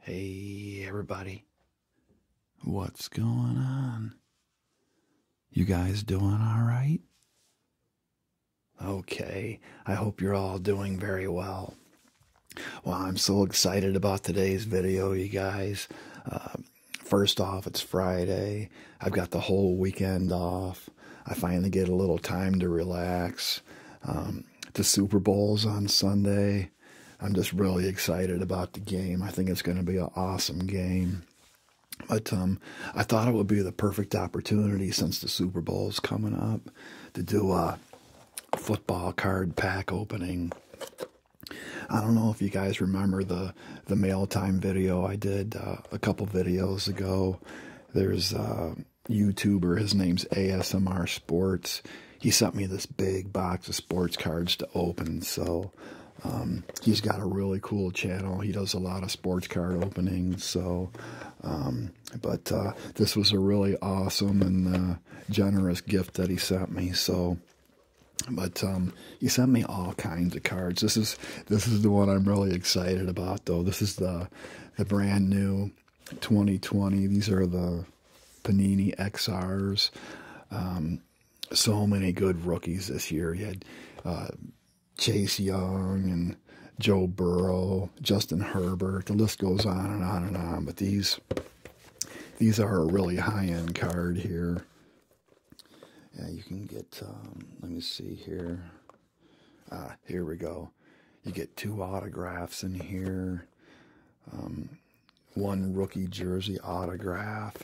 Hey, everybody. What's going on? You guys doing all right? Okay, I hope you're all doing very well. Well, I'm so excited about today's video, you guys. Um, first off, it's Friday. I've got the whole weekend off. I finally get a little time to relax. Um, the Super Bowl's on Sunday. I'm just really excited about the game. I think it's going to be an awesome game. But um, I thought it would be the perfect opportunity since the Super Bowl's coming up to do a football card pack opening. I don't know if you guys remember the the mail time video I did uh, a couple videos ago. There's uh, YouTuber. His name's ASMR Sports. He sent me this big box of sports cards to open. So um, he's got a really cool channel. He does a lot of sports card openings. So, um, but uh, this was a really awesome and uh, generous gift that he sent me. So but um, he sent me all kinds of cards. This is this is the one I'm really excited about, though. This is the the brand new 2020. These are the Panini XRs. Um, so many good rookies this year. You had uh, Chase Young and Joe Burrow, Justin Herbert. The list goes on and on and on. But these these are a really high end card here. Yeah, you can get. Um, let me see here. Ah, here we go you get two autographs in here, um, one rookie jersey autograph.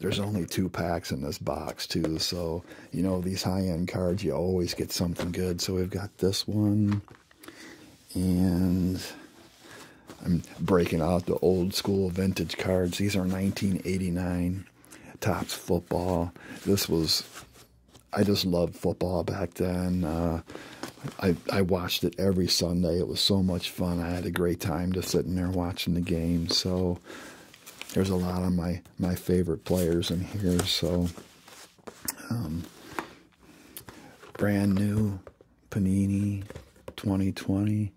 There's only two packs in this box, too. So, you know, these high end cards, you always get something good. So, we've got this one. And I'm breaking out the old school vintage cards. These are 1989 Tops football. This was I just loved football back then. Uh, I I watched it every Sunday. It was so much fun. I had a great time just sitting there watching the game. So there's a lot of my my favorite players in here. So um, brand new Panini 2020.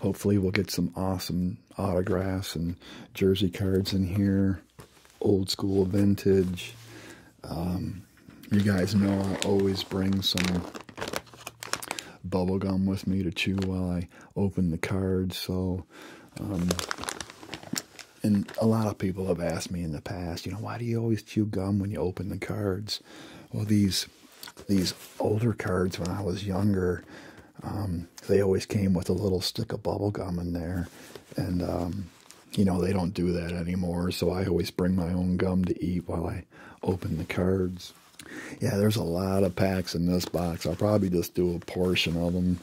Hopefully we'll get some awesome autographs and jersey cards in here. Old school vintage. Um, you guys know I always bring some bubble gum with me to chew while I open the cards. So, um, and a lot of people have asked me in the past, you know, why do you always chew gum when you open the cards? Well, these these older cards when I was younger, um, they always came with a little stick of bubble gum in there, and you know, they don't do that anymore. So I always bring my own gum to eat while I open the cards. Yeah, there's a lot of packs in this box. I'll probably just do a portion of them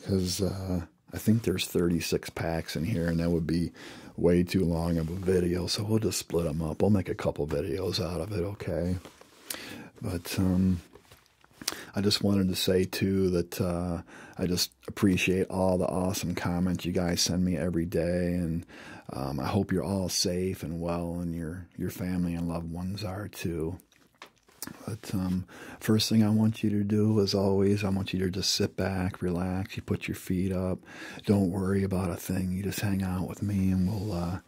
because uh, I think there's 36 packs in here, and that would be way too long of a video. So we'll just split them up. We'll make a couple videos out of it, okay? But um, I just wanted to say too that uh, I just appreciate all the awesome comments you guys send me every day, and um, I hope you're all safe and well, and your your family and loved ones are too. But um, first thing I want you to do, as always, I want you to just sit back, relax. You put your feet up. Don't worry about a thing. You just hang out with me, and we'll uh,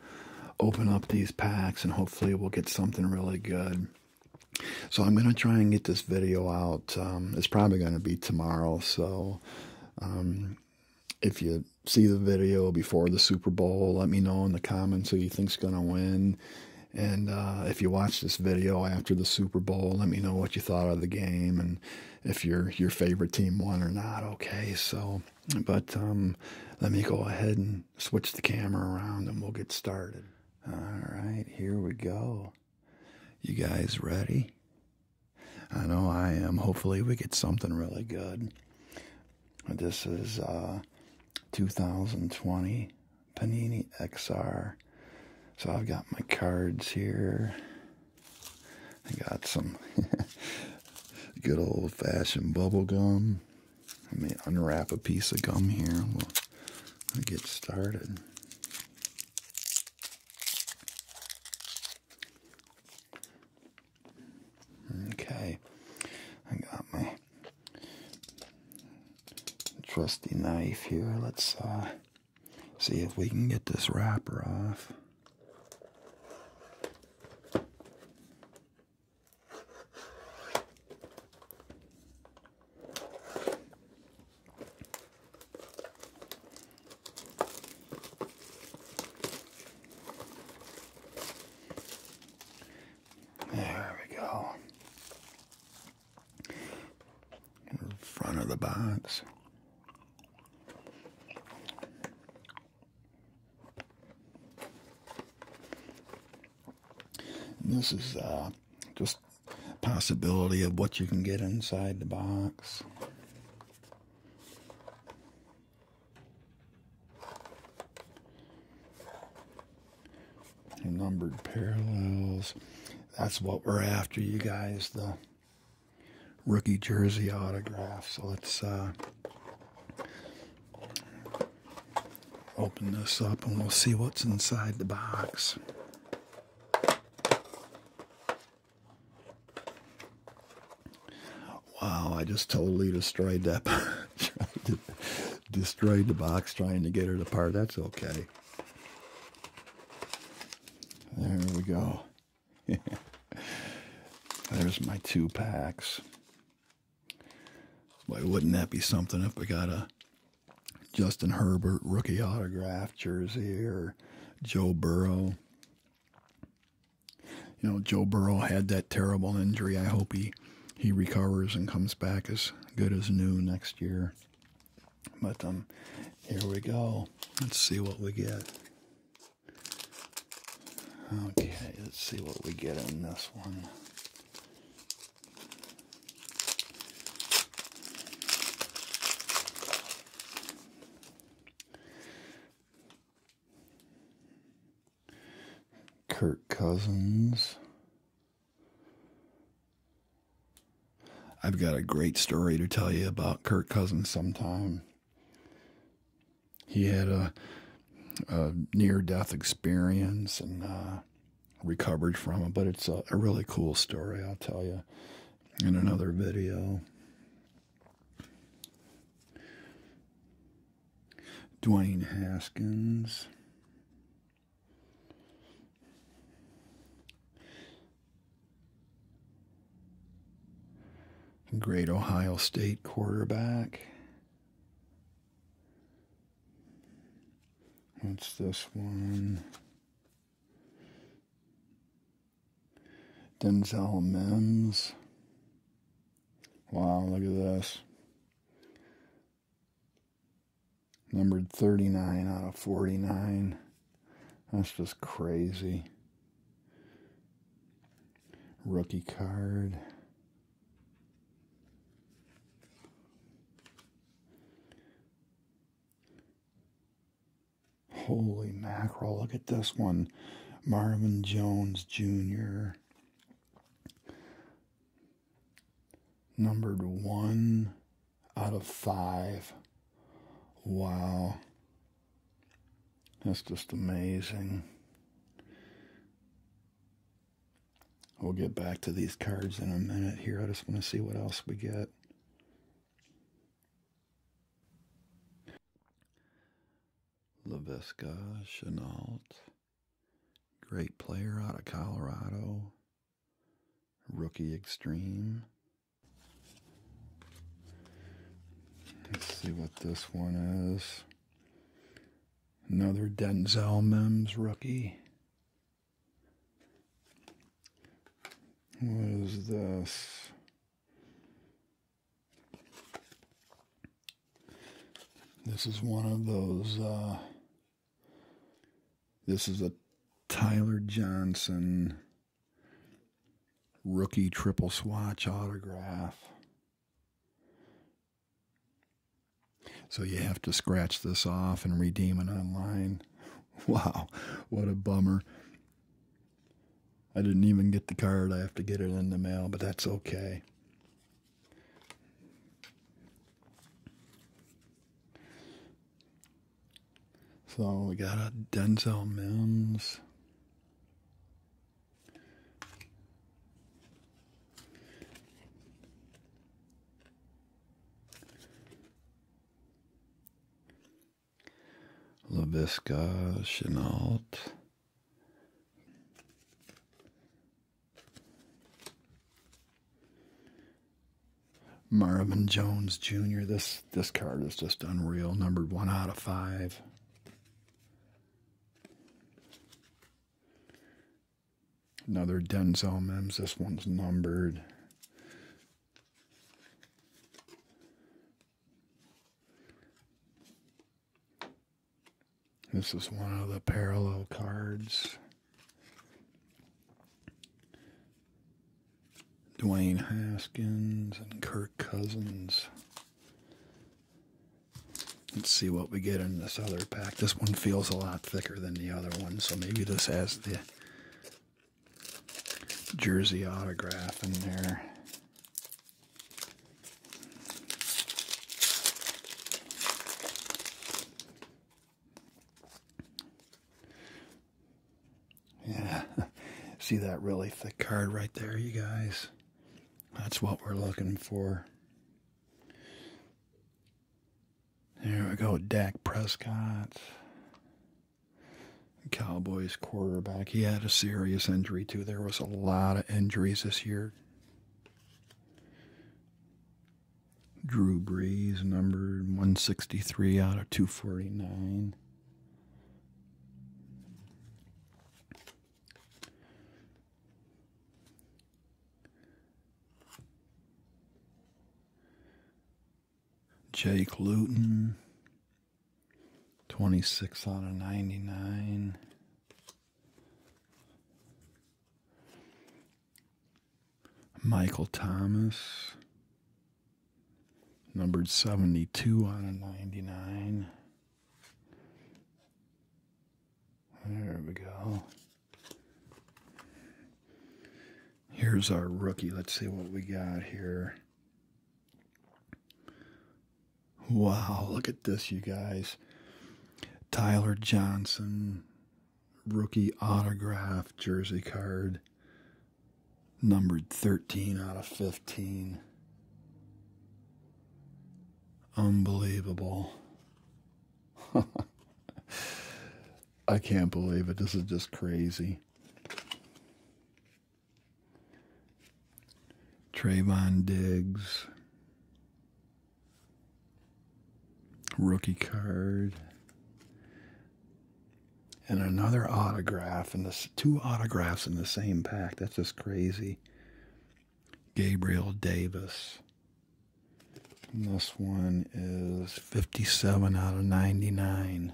open up these packs, and hopefully we'll get something really good. So I'm going to try and get this video out. Um, it's probably going to be tomorrow. So um, if you see the video before the Super Bowl, let me know in the comments who you think's going to win. And uh, if you watch this video after the Super Bowl, let me know what you thought of the game and if your your favorite team won or not. Okay, so but um, let me go ahead and switch the camera around and we'll get started. All right, here we go. You guys ready? I know I am. Hopefully, we get something really good. This is uh, 2020 Panini XR. So I've got my cards here. I got some good old fashioned bubble gum. Let me unwrap a piece of gum here. we'll get started. Okay, I got my trusty knife here. Let's uh, see if we can get this wrapper off. There we go. In front of the box. this is uh, just possibility of what you can get inside the box. numbered parallels. That's what we're after, you guys. The rookie jersey autograph. So let's uh, open this up and we'll see what's inside the box. Wow, I just totally destroyed that. destroyed the box trying to get it apart. That's okay. There we go. There's my two packs. Why wouldn't that be something if we got a Justin Herbert rookie autograph jersey or Joe Burrow. You know, Joe Burrow had that terrible injury. I hope he, he recovers and comes back as good as new next year. But um, here we go. Let's see what we get. Okay, let's see what we get in this one. Kirk Cousins. I've got a great story to tell you about Kirk Cousins sometime. He had a, a near death experience and uh, recovered from it, but it's a, really cool story, I'll tell you in another video. Dwayne Haskins. Great Ohio State quarterback. What's this one? Denzel Mims. Wow, look at this. Numbered 39 out of 49. That's just crazy. Rookie card. Holy mackerel, look at this one. Marvin Jones Jr. Numbered one out of five. Wow. That's just amazing. We'll get back to these cards in a minute here. I just want to see what else we get. LaVisca Chenault, great player out of Colorado, rookie extreme. Let's see what this one is. Another Denzel Mims rookie. What is this? This is one of those. Uh, this is a Tyler Johnson rookie triple swatch autograph. So you have to scratch this off and redeem it online. Wow, what a bummer. I didn't even get the card. I have to get it in the mail, but that's okay. So we got a Denzel Mims. Laviska Chenault. Marvin Jones Jr. This this card is just unreal. Numbered one out of five. Another Denzel Mims. This one's numbered. This is one of the parallel cards. Dwayne Haskins and Kirk Cousins. Let's see what we get in this other pack. This one feels a lot thicker than the other one, so maybe this has the jersey autograph in there. Yeah, see that really thick card right there, you guys? That's what we're looking for. There we go. Dak Prescott. Cowboys quarterback. He had a serious injury, too. There was a lot of injuries this year. Drew Brees, number 163 out of 249. Jake Luton, 26 out of 99. Michael Thomas, numbered 72 out of 99. There we go. Here's our rookie. Let's see what we got here. Wow, look at this, you guys. Tyler Johnson, rookie autograph jersey card, numbered 13 out of 15. Unbelievable. I can't believe it. This is just crazy. Trayvon Diggs. Rookie card. And another autograph, and this two autographs in the same pack. That's just crazy. Gabriel Davis this one is 57 out of 99.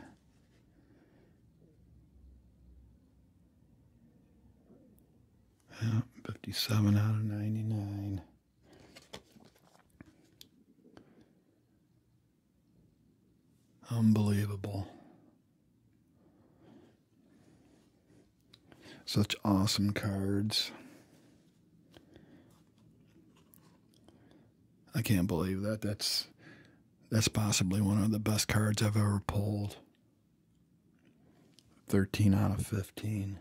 Yeah, 57 out of 99. Unbelievable. Such awesome cards. I can't believe that. That's that's possibly one of the best cards I've ever pulled. 13 out of 15.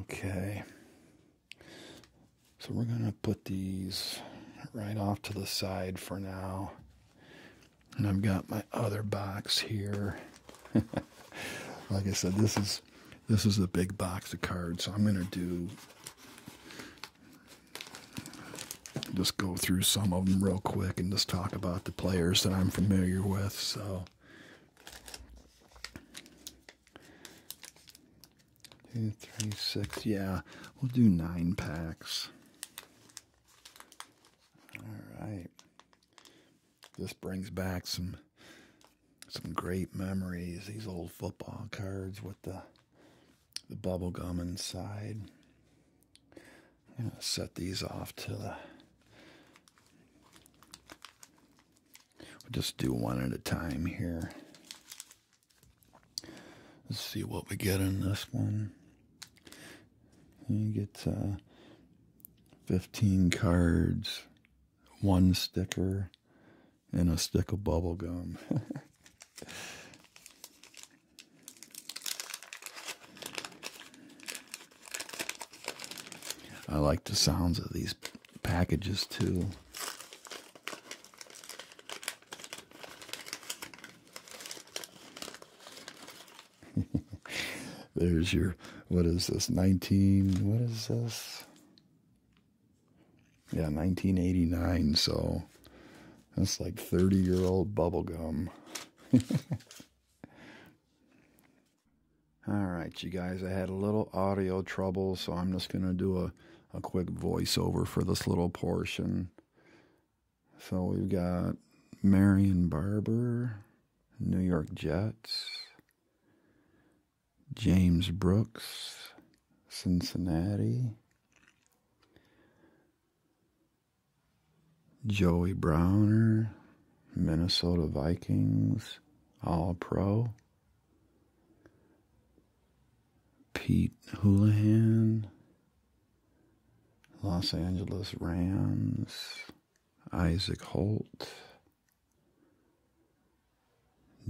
Okay. So we're going to put these right off to the side for now. And I've got my other box here. like I said, this is this is a big box of cards. So I'm gonna do just go through some of them real quick and just talk about the players that I'm familiar with. So two, three, six, yeah, we'll do nine packs. All right. This brings back some some great memories. These old football cards with the the bubble gum inside. I'm gonna set these off to the. We'll just do one at a time here. Let's see what we get in this one. You get uh, 15 cards, one sticker, and a stick of bubble gum. I like the sounds of these packages too. There's your, what is this, 19, what is this? Yeah, 1989, so that's like 30 year old bubblegum. All right, you guys, I had a little audio trouble, so I'm just going to do a, a quick voiceover for this little portion. So we've got Marion Barber. New York Jets, James Brooks, Cincinnati, Joey Browner, Minnesota Vikings, All Pro, Pete Houlihan, Los Angeles Rams. Isaac Holt,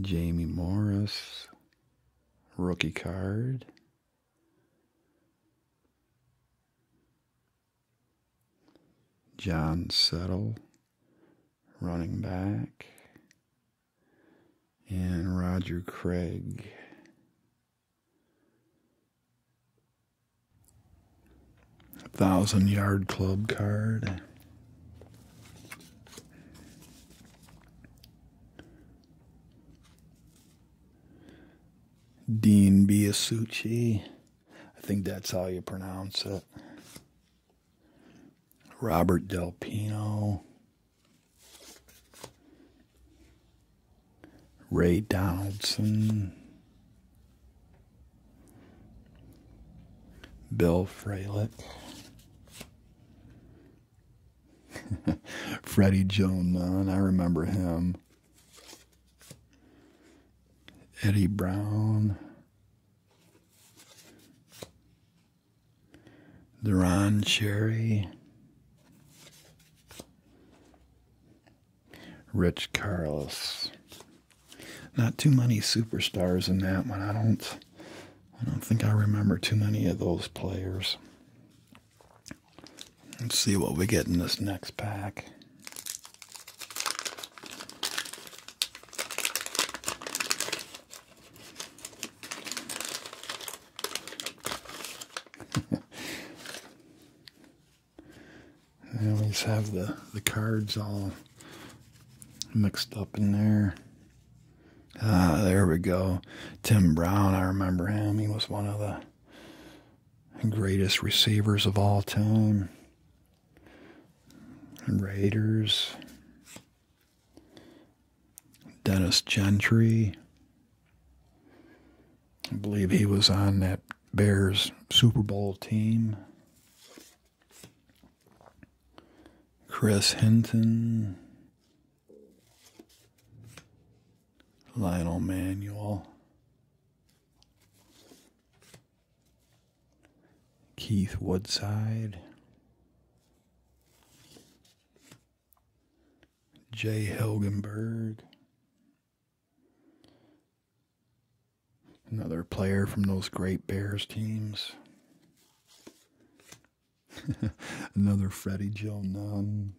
Jamie Morris, rookie card. John Settle, running back, and Roger Craig. Thousand Yard Club card. Dean Biasucci. I think that's how you pronounce it. Robert Del Pino. Ray Donaldson, Bill Fralick, Freddie Joan Nunn, I remember him, Eddie Brown, Deron Cherry. Rich Carlos. Not too many superstars in that one. I don't I don't think I remember too many of those players. Let's see what we get in this next pack. I always have the, the cards all mixed up in there. Ah, there we go. Tim Brown, I remember him. He was one of the greatest receivers of all time. Raiders. Dennis Gentry. I believe he was on that Bears Super Bowl team. Chris Hinton. Lionel Manuel. Keith Woodside. Jay Helgenberg. Another player from those great Bears teams. Another Freddie Joe Nunn.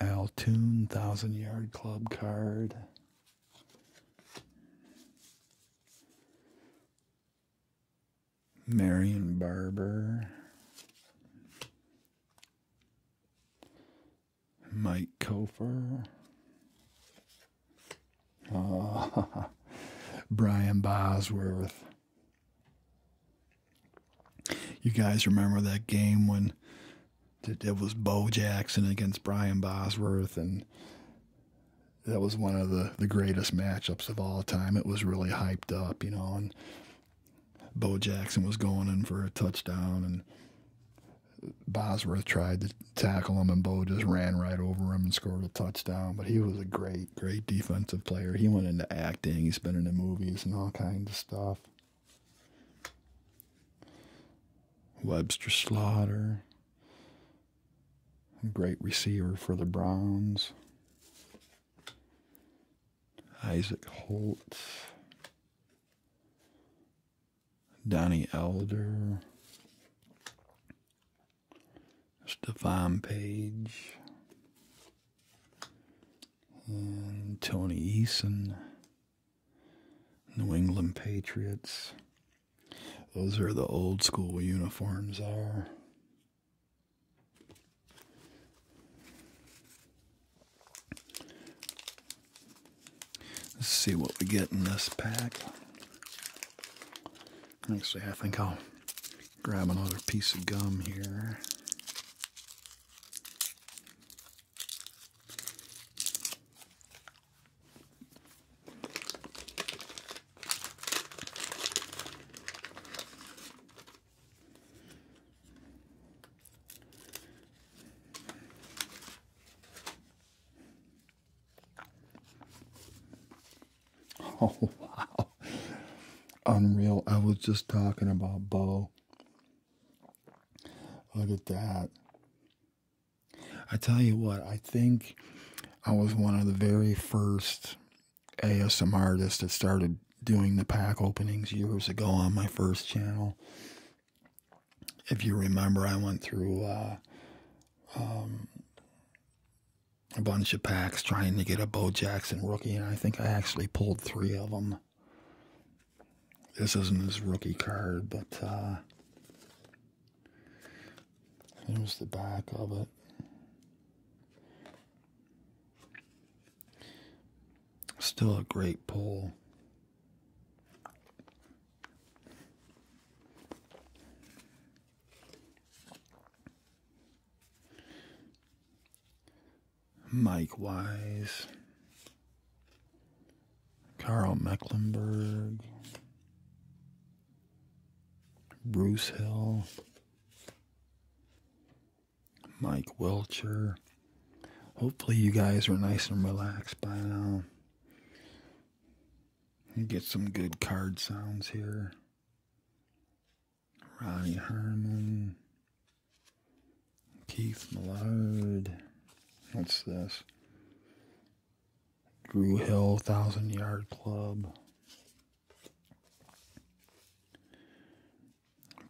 Altoon Thousand Yard Club card. Marion Barber. Mike Kofer, ah, Brian Bosworth. You guys remember that game when it was Bo Jackson against Brian Bosworth, and that was one of the, the greatest matchups of all time. It was really hyped up, you know, and Bo Jackson was going in for a touchdown, and Bosworth tried to tackle him, and Bo just ran right over him and scored a touchdown. But he was a great, great defensive player. He went into acting, he's been in the movies and all kinds of stuff. Webster Slaughter, great receiver for the Browns. Isaac Holt, Donnie Elder, Stefan Page, and Tony Eason, New England Patriots. Those are the old school uniforms are. Let's see what we get in this pack. Actually, I think I'll grab another piece of gum here. Oh, wow. Unreal. I was just talking about Bo. Look at that. I tell you what, I think I was one of the very first ASM artists that started doing the pack openings years ago on my first channel. If you remember, I went through uh, um, a bunch of packs trying to get a Bo Jackson rookie, and I think I actually pulled three of them. This isn't his rookie card, but uh, here's the back of it. Still a great pull. Mike Wise, Carl Mecklenburg, Bruce Hill, Mike Welcher. Hopefully, you guys are nice and relaxed by now. You get some good card sounds here. Ronnie Herman. Keith Millard. What's this? Drew Hill, Thousand Yard Club.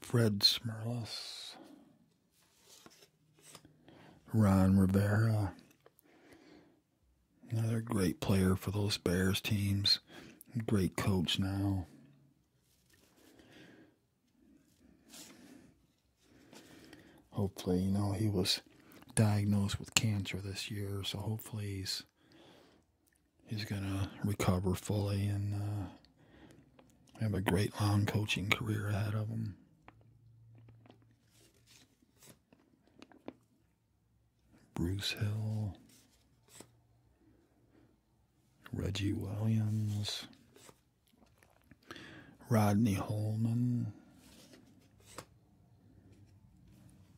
Fred Smirlis, Ron Rivera, another great player for those Bears teams, great coach now. Hopefully, you know, he was diagnosed with cancer this year, so hopefully he's he's going to recover fully and uh, have a great long coaching career ahead of him. Bruce Hill, Reggie Williams, Rodney Holman,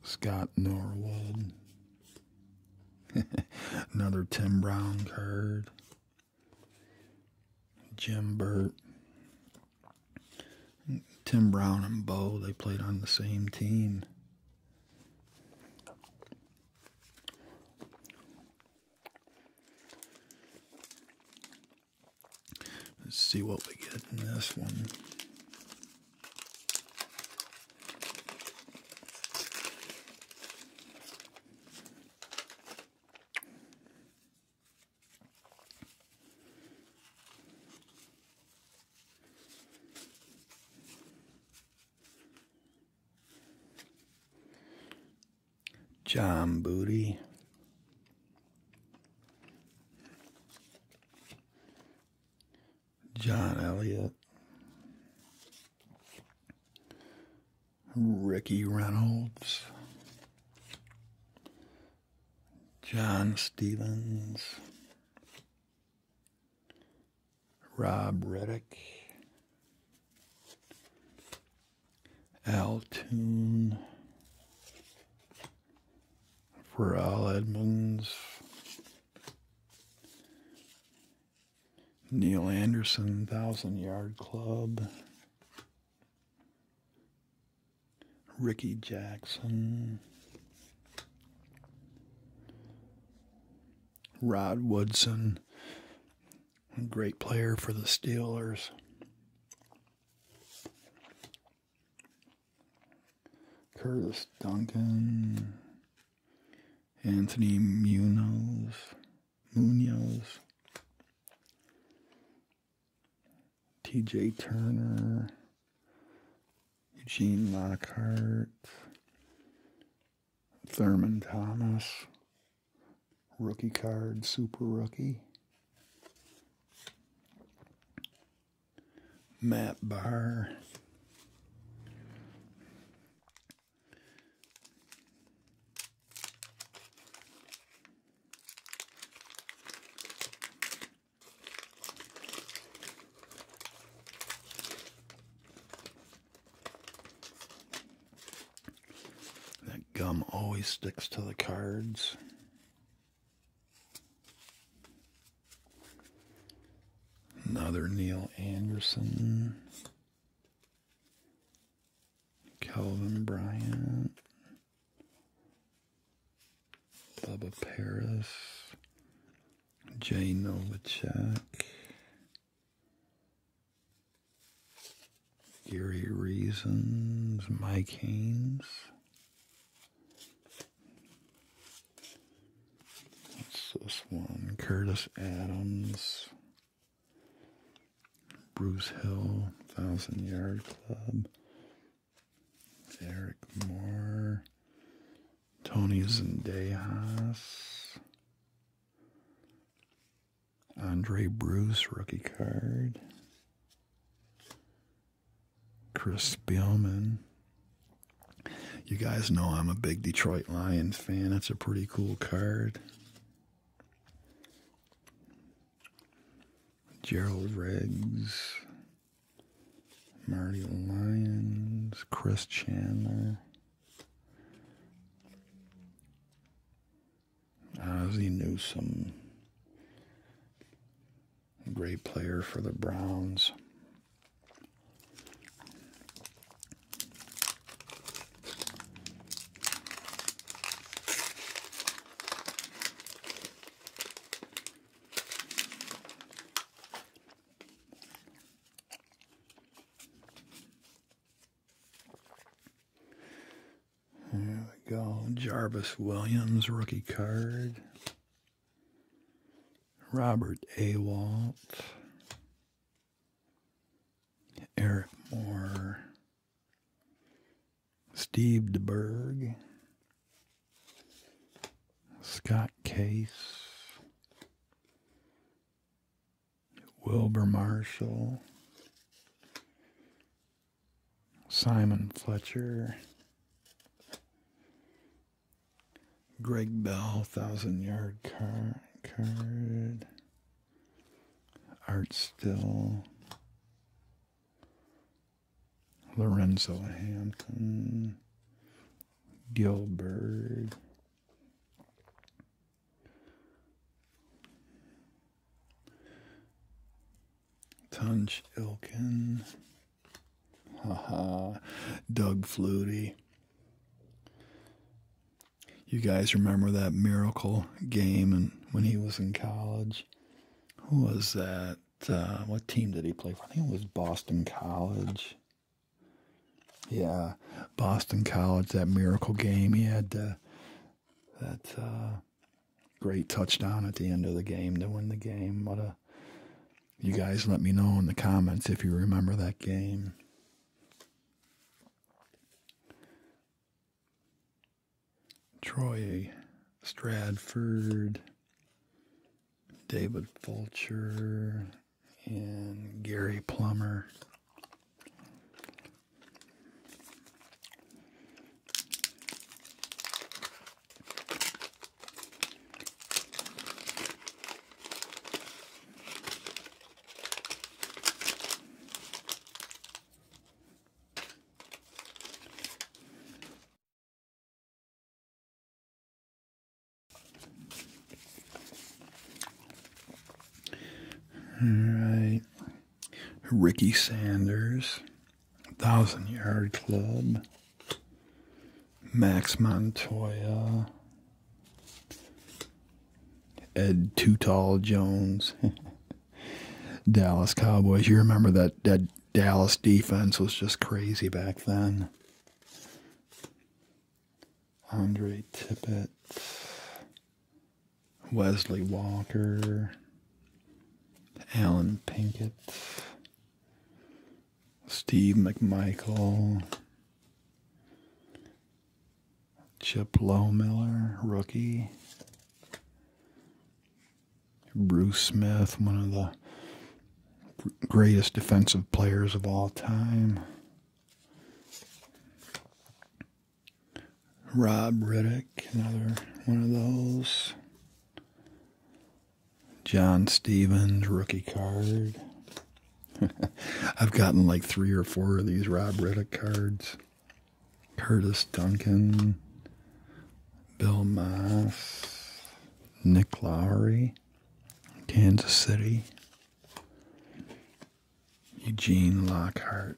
Scott Norwood, Another Tim Brown card. Jim Burt. Tim Brown and Bo, they played on the same team. Let's see what we get in this one. John Booty. John Elliott. Ricky Reynolds, John Stevens, Rob Reddick, Al for Pharrell Edmonds, Neil Anderson, Thousand Yard Club, Ricky Jackson, Rod Woodson, great player for the Steelers. Curtis Duncan, Anthony Munoz, Munoz, T.J. Turner, Eugene Lockhart, Thurman Thomas, rookie card, super rookie, Matt Bar. That gum always sticks to the cards. Another Neil Anderson. Kelvin Bryant, Bubba Paris, Jay Novacek, Gary Reasons, Mike Haynes, What's this one? Curtis Adams, Bruce Hill, Thousand Yard Club, Eric Moore, Tony Zendejas, Andre Bruce, rookie card. Chris Spielman, you guys know I'm a big Detroit Lions fan. That's a pretty cool card. Gerald Regs, Marty Lyons, Chris Chandler, Ozzie Newsome, great player for the Browns. There we go. Jarvis Williams, rookie card. Robert A. Walt. Eric Moore, Steve DeBerg, Scott Case, Wilbur Marshall, Simon Fletcher, Greg Bell, thousand yard card. Art Still. Lorenzo Hampton. Gilbert. Tunch Ilkin. Haha. Doug Flutie. You guys remember that miracle game and when he was in college? Who was that? Uh, what team did he play for? I think it was Boston College. Yeah, Boston College, that miracle game. He had uh, that uh, great touchdown at the end of the game to win the game. What a. You guys let me know in the comments if you remember that game. Troy Stratford, David Fulcher, and Gary Plummer. All right. Ricky Sanders, Thousand Yard Club, Max Montoya, Ed Too Jones, Dallas Cowboys. You remember that that Dallas defense was just crazy back then. Andre Tippett, Wesley Walker, Alan Pinkett, Steve McMichael, Chip Lowmiller, rookie, Bruce Smith, one of the greatest defensive players of all time. Rob Riddick, another one of those. John Stevens, rookie card. I've gotten like three or four of these Rob Reddick cards. Curtis Duncan, Bill Moss, Nick Lowry, Kansas City, Eugene Lockhart.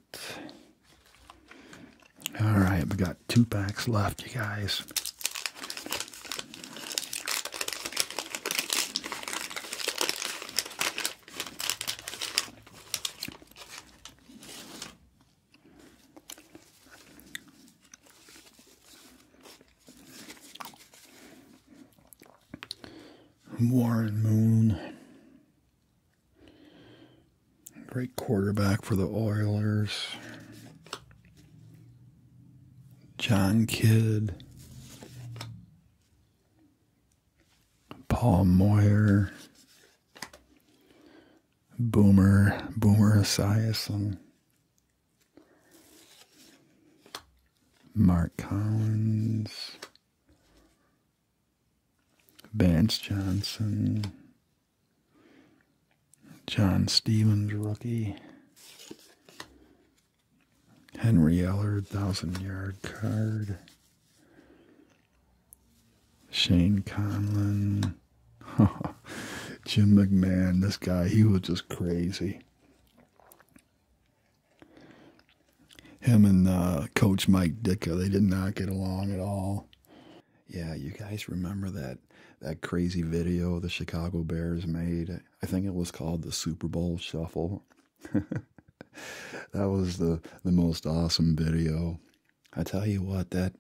All right, we got two packs left, you guys. Warren Moon, great quarterback for the Oilers. John Kidd, Paul Moir, Boomer, Boomer Esiason, Mark Collins, Vance Johnson, John Stevens rookie, Henry Ellard, thousand yard card. Shane Conlon. Jim McMahon, this guy, he was just crazy. Him and uh, Coach Mike Dicker, they did not get along at all. Yeah, you guys remember that that crazy video the Chicago Bears made I think it was called the Super Bowl Shuffle. that was the the most awesome video. I tell you what that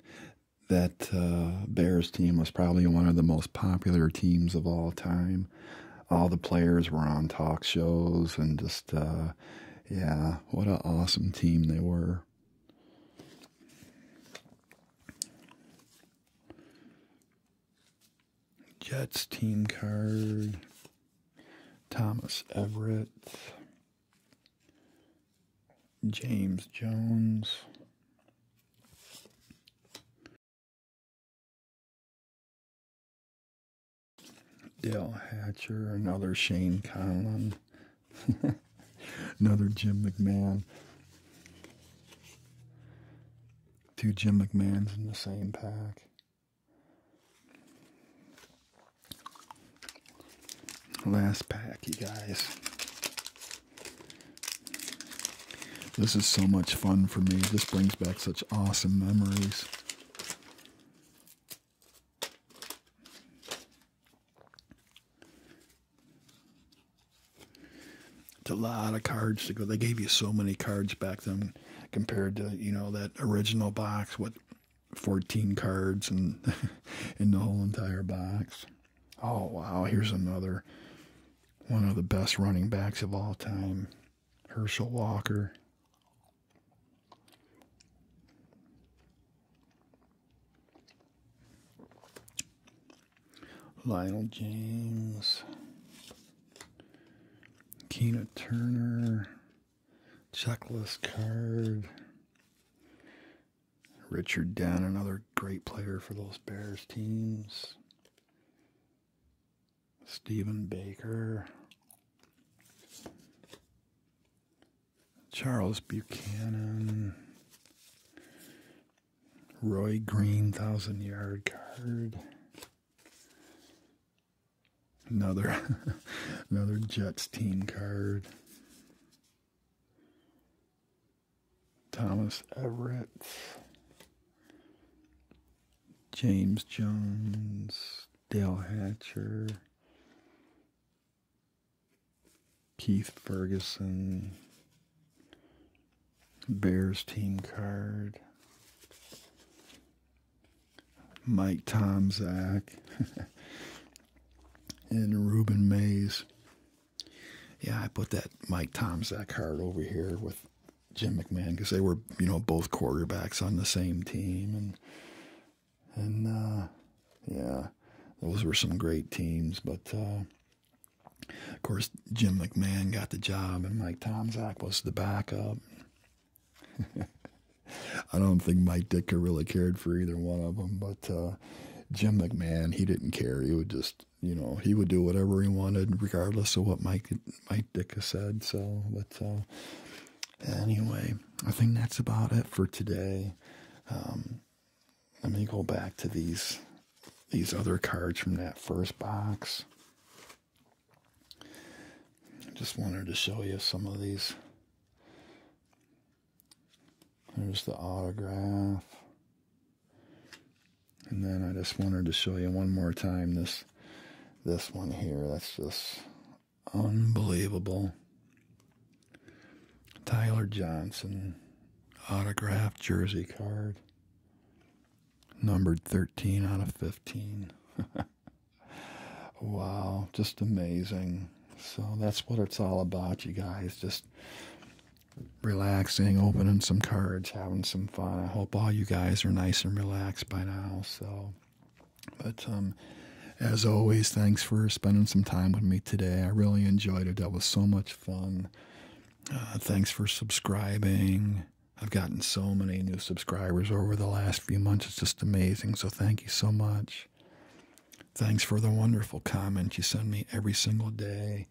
that uh, Bears team was probably one of the most popular teams of all time. All the players were on talk shows and just uh, yeah, what an awesome team they were. Jets team card. Thomas Everett. James Jones. Dale Hatcher, another Shane Conlon, another Jim McMahon, Two Jim McMahons in the same pack. Last pack, you guys. This is so much fun for me. This brings back such awesome memories. It's a lot of cards to go. They gave you so many cards back then compared to, you know, that original box with 14 cards and in the whole entire box. Oh, wow. Here's another one of the best running backs of all time, Herschel Walker. Lionel James, Keena Turner, checklist card. Richard Dunn, another great player for those Bears teams. Stephen Baker. Charles Buchanan. Roy Green, thousand yard card. Another, another Jets team card. Thomas Everett. James Jones. Dale Hatcher. Keith Ferguson. Bears team card. Mike Tomzak. and Ruben Mays. Yeah, I put that Mike Tomzak card over here with Jim McMahon because they were, you know, both quarterbacks on the same team. And, and uh, yeah, those were some great teams. But uh, of course, Jim McMahon got the job, and Mike Tomczak was the backup. I don't think Mike Ditka really cared for either one of them, but uh, Jim McMahon, he didn't care. He would just, you know, he would do whatever he wanted, regardless of what Mike Mike Ditka said. So, but uh, anyway, I think that's about it for today. Um, let me go back to these these other cards from that first box. I just wanted to show you some of these. Here's the autograph. And then I just wanted to show you one more time this this one here. That's just unbelievable. Tyler Johnson autograph jersey card. Numbered 13 out of 15. wow, just amazing. So that's what it's all about, you guys. Just relaxing, opening some cards, having some fun. I hope all you guys are nice and relaxed by now. So, but um, as always, thanks for spending some time with me today. I really enjoyed it. That was so much fun. Uh, thanks for subscribing. I've gotten so many new subscribers over the last few months. It's just amazing. So thank you so much. Thanks for the wonderful comments you send me every single day.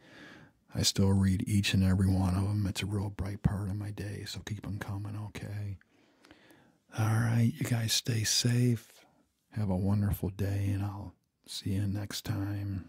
I still read each and every one of them. It's a real bright part of my day. So keep them coming, okay? All right. You guys stay safe. Have a wonderful day, and I'll see you next time.